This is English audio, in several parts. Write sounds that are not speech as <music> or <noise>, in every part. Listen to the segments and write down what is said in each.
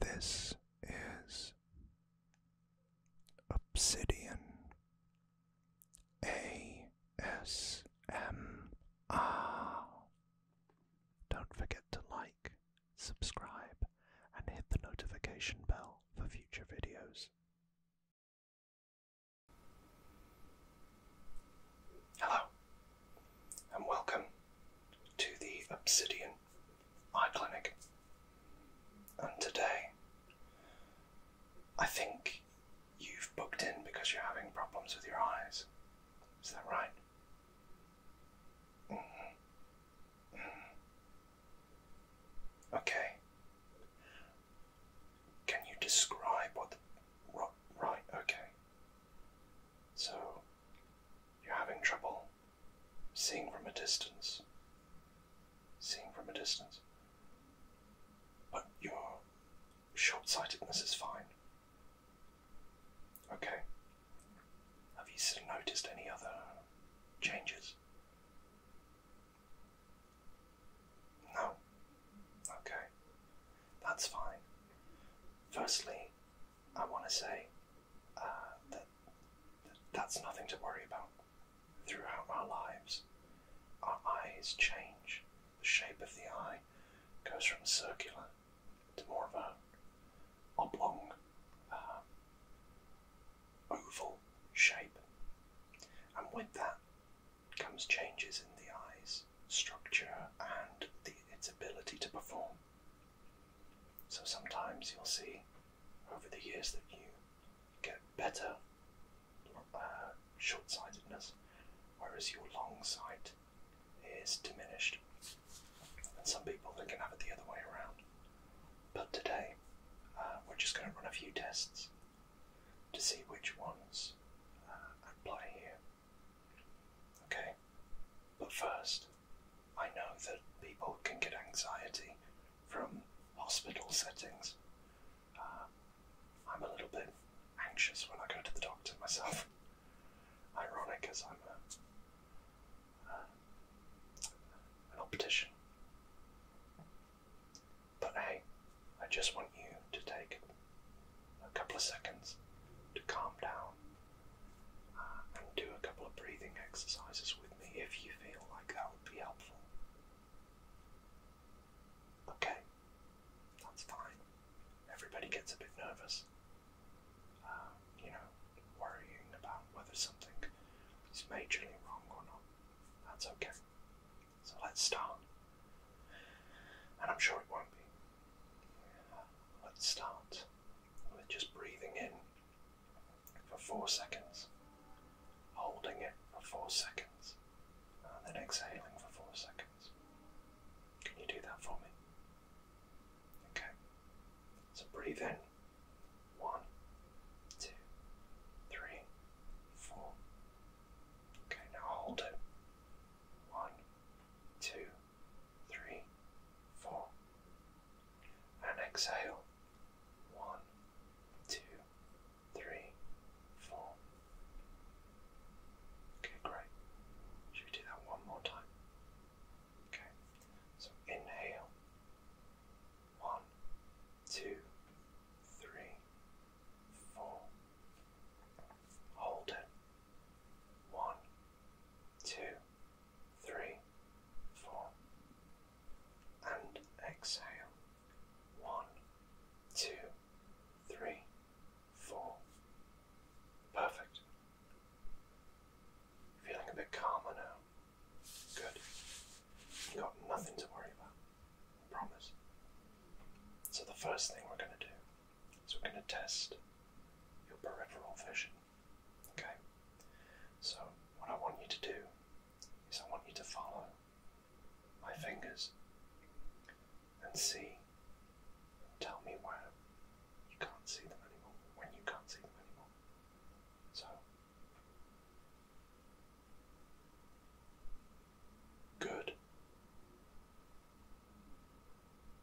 This is Obsidian ASMR. Don't forget to like, subscribe, and hit the notification bell for future videos. Hello, and welcome to the Obsidian Eye Clinic. And today, I think you've booked in because you're having problems with your eyes. Is that right? Mm-hmm. Mm-hmm. Okay. Can you describe what the. Right, okay. So you're having trouble seeing from a distance. Seeing from a distance. But your short sightedness is fine. Okay. Have you noticed any other changes? No. Okay that's fine. Firstly, I want to say uh, that, that's nothing to worry about. Throughout our lives, our eyes change. The shape of the eye goes from circular to more of an oblong, uh, oval shape. And with that comes changes in the eyes structure and its ability to perform. So sometimes you'll see over the years that you get better uh, short sightedness, whereas your long sight is diminished. And some people they can have it the other way around. But today, uh, we're just going to run a few tests to see which ones uh, at here. Okay, but first, I know that people can get anxiety from hospital settings. Uh, I'm a little bit anxious when I go to the doctor myself. <laughs> Ironic as I'm a, uh, an optician. But hey, I just want you to take a couple of seconds to calm down uh, and do a couple of breathing exercises with me if you feel like that would be helpful. Okay, that's fine. Everybody gets a bit nervous, uh, you know, worrying about whether something is majorly wrong or not. That's okay. So let's start. And I'm sure it won't be. Let's start with just breathing in for four seconds, holding it for four seconds, then exhaling for four seconds. Can you do that for me? Okay. So breathe in. One, two, three, four. Okay, now hold it. One, two, three, four. And exhale. One, two, three, four. Okay, great. Should we do that one more time? Okay. So inhale. One, two, three, four. Hold it. One, two, three, four. And exhale. One, two, three, four. Perfect. Feeling a bit calmer now. Good. got nothing to worry about. I promise. So, the first thing we're going to do so we're going to test your peripheral vision. Okay? So, what I want you to do is I want you to follow my fingers and see and tell me where you can't see them anymore, when you can't see them anymore. So, Good.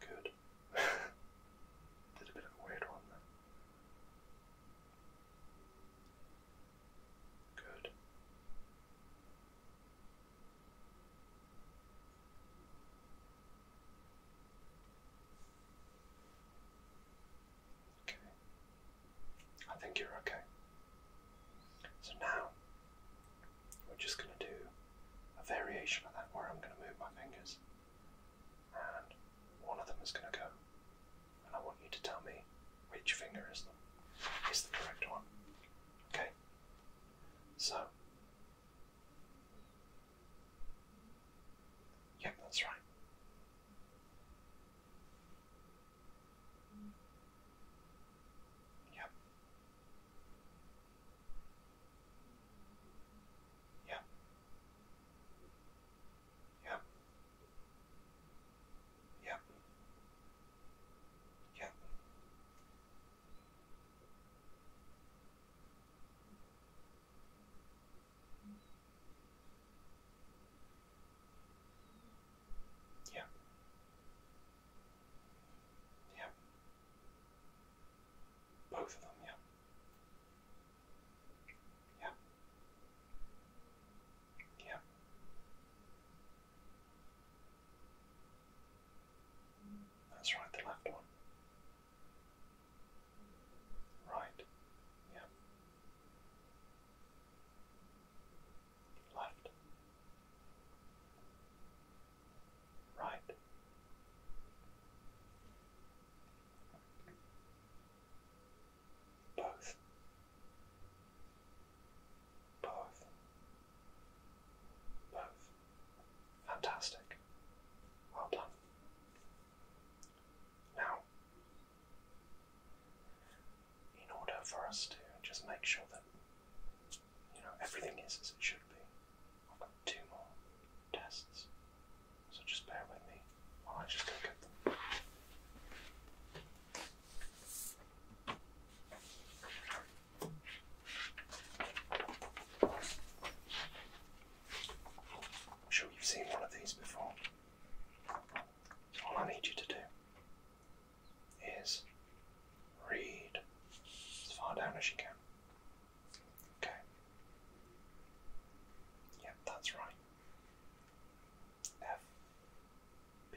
Good. <laughs> Did a bit of weird one there. Good. Okay. I think you're okay. So now we're just going to do a variation of that where I'm going to move my fingers and one of them is going to go. And I want you to tell me which finger is the, is the correct one. Okay? So. Yep, that's right. Yep. Yeah. Yeah. Yeah. Yeah. Yeah. Yeah. Both of them, yeah. Yeah. Yeah. That's right, the left one. Right. Yeah. Left. Right. Both. Both. Both. Fantastic. Well done. Now, in order for us to just make sure that you know everything is as it should be, I've got two more tests, so just bear with me while I just go get them. am sure you've seen one of these before. So all I need you to do is read as far down as you can. Okay. Yep, that's right. F B.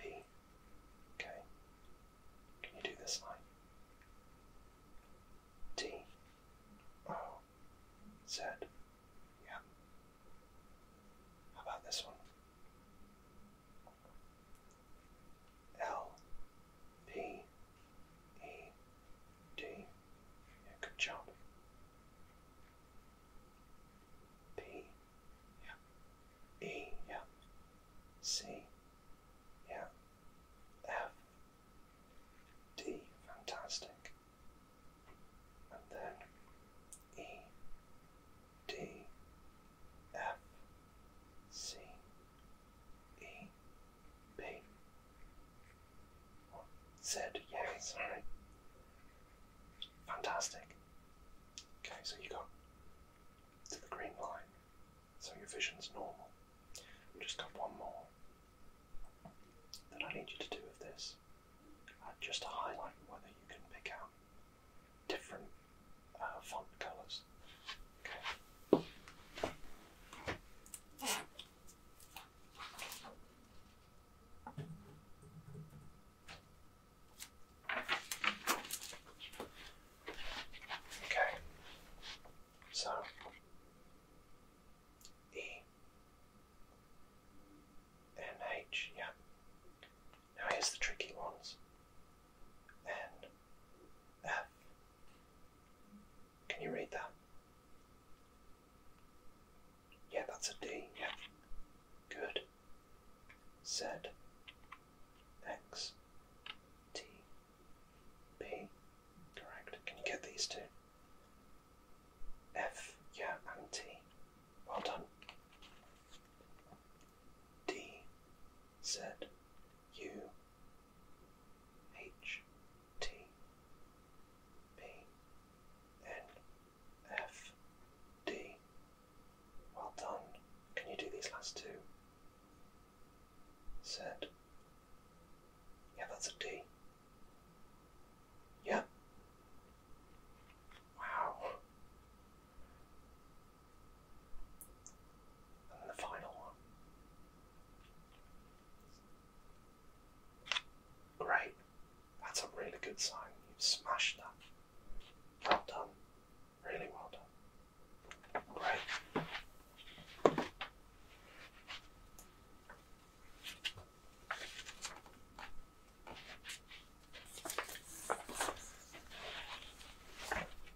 Okay. Can you do this line? D O Z. Yeah. How about this one? L P E D. Yeah, good job. P. Yeah. E. Yeah. C. Yeah. F. D. Fantastic. And then E. D. F. C. E, B, or Z. Fantastic. Okay, so you got to the green line, so your vision's normal. just got one more that I need you to do with this, uh, just to highlight whether you can pick out different uh, font colours. Okay, so E yeah. Now here's the tricky ones. N, F, can you read that? Yeah, that's a D. Yeah. Good. Z X T B. Correct. Can you get these two? F, yeah, and T. Well done. D Z U H T P N F D. Well done. Can you do these last two? Z. Yeah, that's a D. Yeah. Wow. And the final one. Great. That's a really good sign. You've smashed that. Well done. Really well done. Great.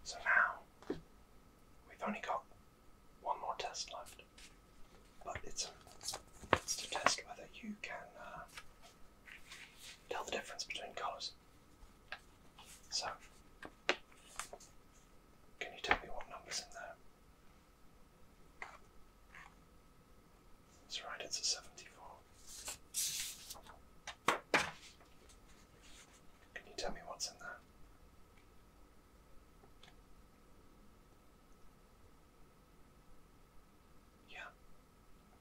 So now we've only got one more test left, but it's a, it's to test whether you can uh, tell the difference between colours. So, can you tell me what number's in there? It's right, it's a 74. Can you tell me what's in there? Yeah,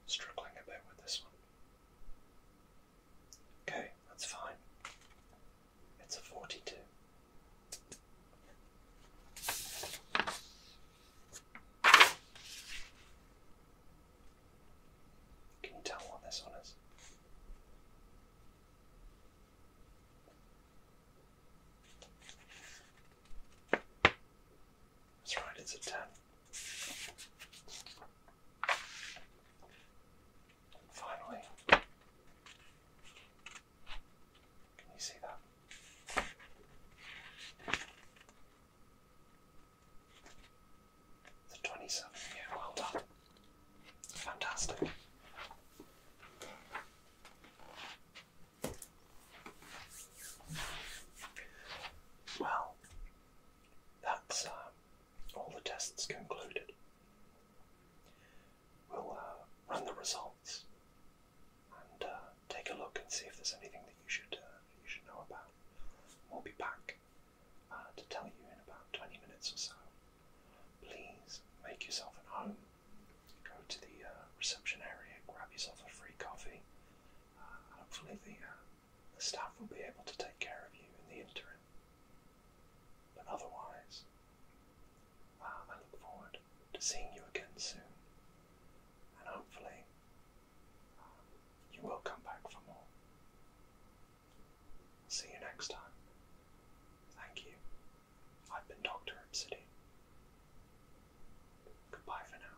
struggling a bit with this one. Okay, that's fine. It's a 42. Can you tell what this one is? That's right, it's a 10. finally, can you see that? The 27, well done. Fantastic. Well, that's uh, all the tests concluded. We'll uh, run the results and uh, take a look and see if there's anything that you should you should know about. We'll be back to tell you in about 20 minutes or so please make yourself at home. Go to the uh, reception area, grab yourself a free coffee. Uh, hopefully, uh, the, staff will be able to take care of you in the interim. But otherwise, I look forward to seeing you again soon. And hopefully, you will come back for more. See you next time. Thank you. I've been Dr. Obsidian. Goodbye for now.